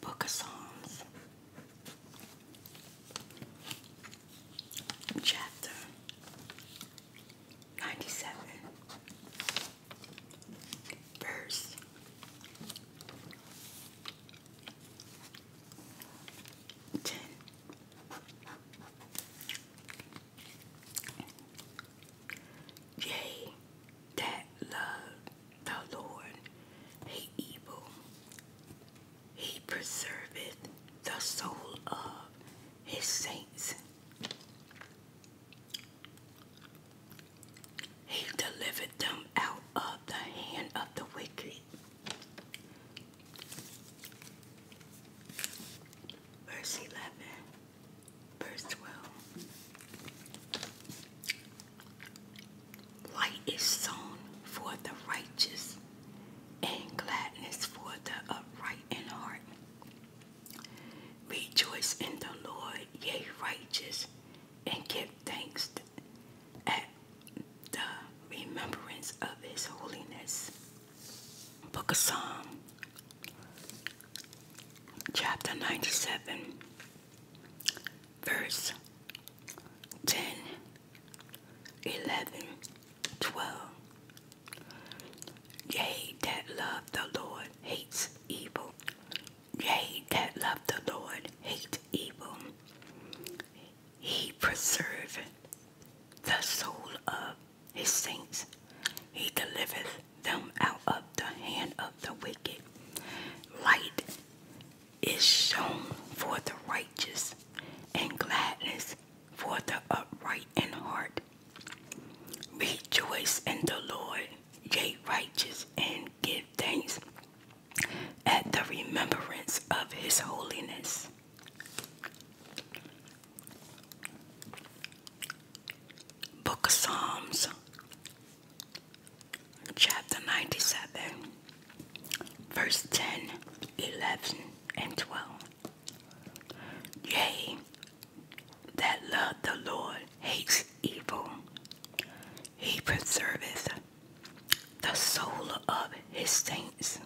Book of Songs, chapter 97, verse 10. Yea, that love the Lord, hate evil. He preserveth the soul of his saints. He delivered them out of the hand of the wicked verse 11, verse 12. Light is sown for the righteous, and gladness for the upright in heart. Rejoice in the Lord, yea, righteous, and give thanks at the remembrance of his holiness. Book of Psalm, chapter 97, verse 10, 11, 12. Yea, that love the Lord hates evil. Yea, that love the Lord hate evil. He preserveth the soul of his saints. He delivereth them out of the hand of the wicked. Light is shown for the righteous, and gladness for the upright in heart. Rejoice in the Lord, ye righteous, and give thanks at the remembrance of his holiness. Book of Psalms, chapter 97, verse 10, 11, and 12. Yea, that love the Lord hates evil, he preserveth the soul of his saints.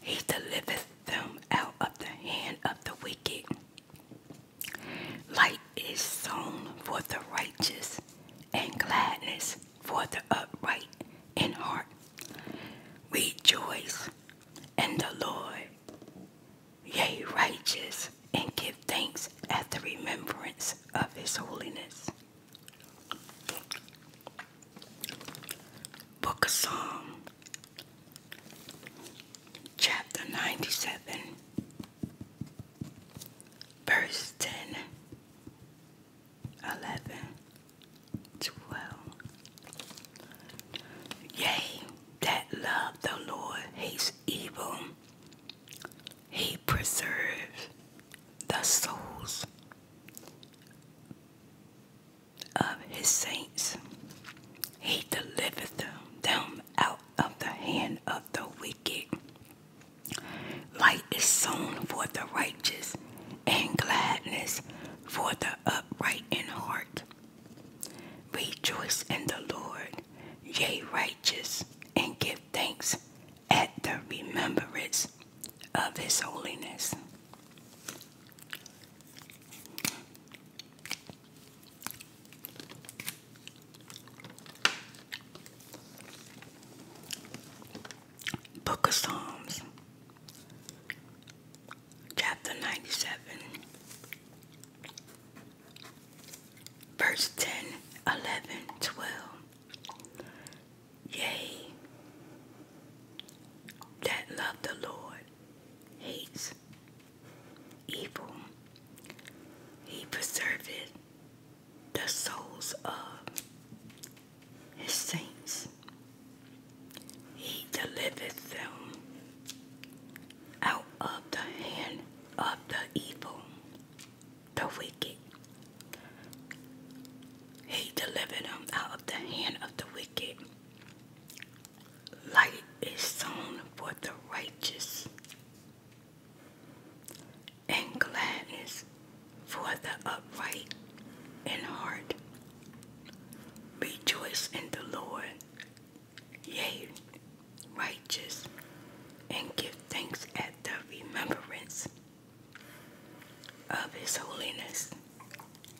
He delivereth them out of the hand of the wicked. Light is sown for the righteous, and gladness for the upright in heart. Rejoice in the Lord, yea, righteous, and give thanks at the remembrance of his holiness. Book of Psalm chapter 97, verse 10, 11, 12. Yea, that love the Lord hates evil, he preserves the souls of his saints. He delivereth them out of the hand of the wicked. Light is sown for the righteous, and gladness for the upright in heart. Rejoice in the Lord, yea, righteous, and give thanks at the remembrance of his holiness. Book of Psalms, chapter 97, verse 10, 11, Yea, that love the Lord hates evil. He preserveth the souls of his saints. He delivereth them out of the hand of the evil, the wicked. He delivered them out of the hand of the wicked Light is sown for the righteous, and gladness for the upright in heart. Rejoice in the Lord, ye righteous, and give thanks at the remembrance of his holiness.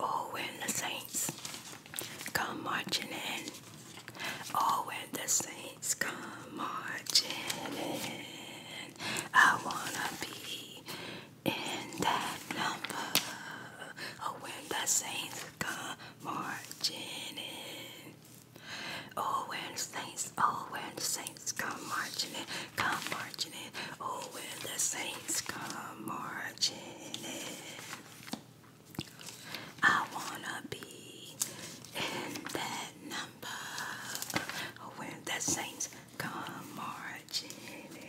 Oh, when the saints come marching in. Oh, when the saints come marching in. I wanna be in that number. Oh, when the saints come marching in. Oh, when the saints, oh, when the saints come marching in, come marching in. Oh, when the saints come marching in, I wanna be in that number. Oh, when the saints come marching in.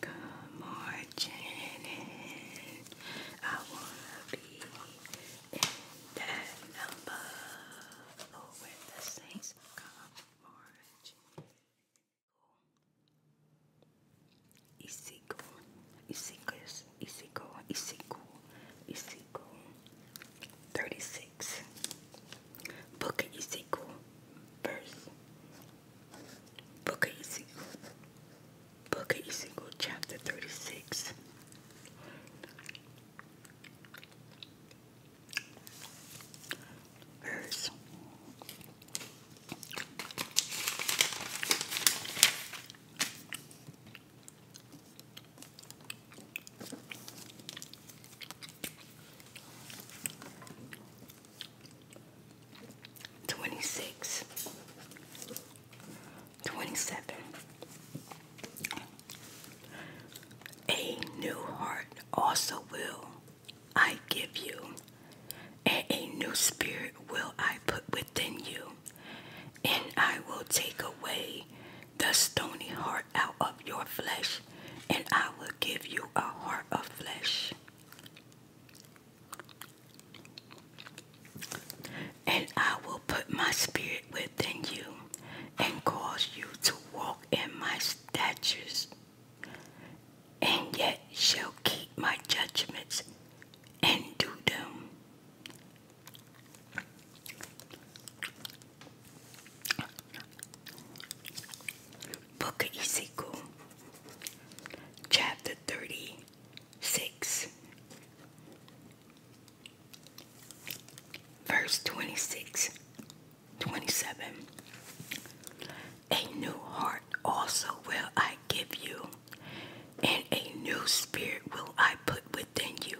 Come marching I wanna be in that number. Oh, where the saints come marching. Ezekiel, Ezekiel, Ezekiel, Ezekiel, Ezekiel, 36. Book of Ezekiel, verse Book of Ezekiel. Book chapter 36. Verse 26 27 A new heart also will I give you, and a new spirit will I put within you, and I will take away the stony heart out of your flesh, and I will give you a heart of flesh. And I will put my spirit within you and cause you to walk in my statutes, and yet shall keep my judgments and do them. Book Ezekiel, chapter 36, verse 26, 27. A new heart also will I give you, and a new spirit will I put within you,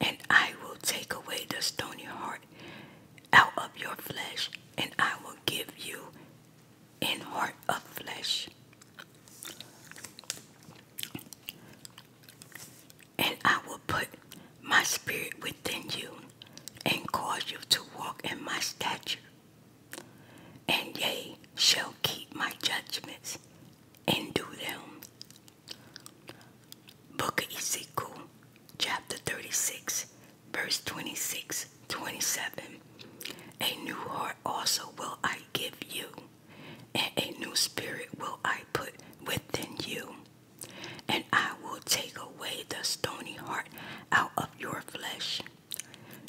and I will take away the stony heart out of your flesh, and I will give you in heart of flesh. And I will put my spirit within you and cause you to walk in my stature. And ye shall keep my judgments and do them. Book of Ezekiel, chapter 36, verse 26 27. A new heart also will I give you, and a new spirit will I put within you. And I will take away the stony heart out of your flesh,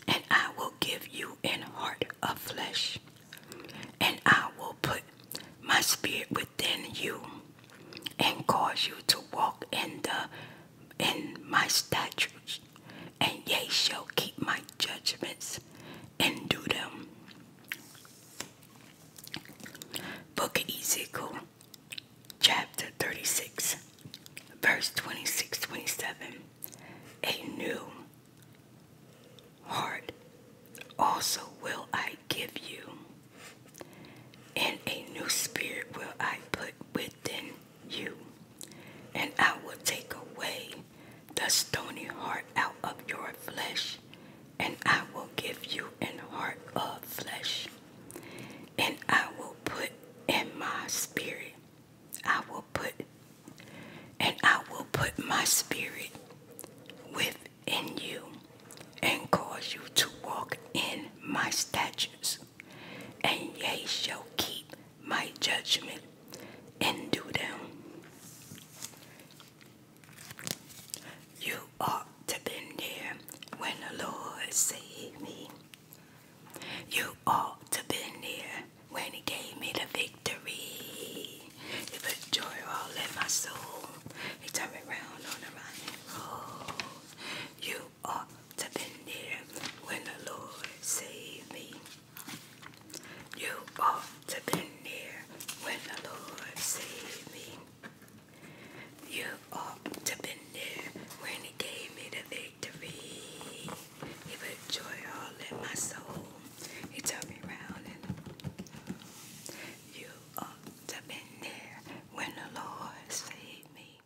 and I will give you an heart of flesh, and I will put my spirit within you, and cause you to walk in the in my statutes and ye shall keep my judgments and do them. Book of Ezekiel, chapter 36, verse 26 A new heart also will I give you, and a new spirit will I put within you, and I will take away the stony heart out of your flesh, and I will give you an heart of flesh, and I will put in my spirit, I will put, and I will put my spirit within you, and cause you to walk in my statutes and ye shall keep my judgment and do them. You ought to been there when the Lord saved me. You ought to been there when he gave me the victory. He put joy all in my soul. He turned me round on the right road. You ought to been there when the Lord saved me. You ought to been there when the Lord saved me. You ought to been there when he gave me the victory. He put joy all in my soul. He turned me round and you ought to been there when the Lord saved me.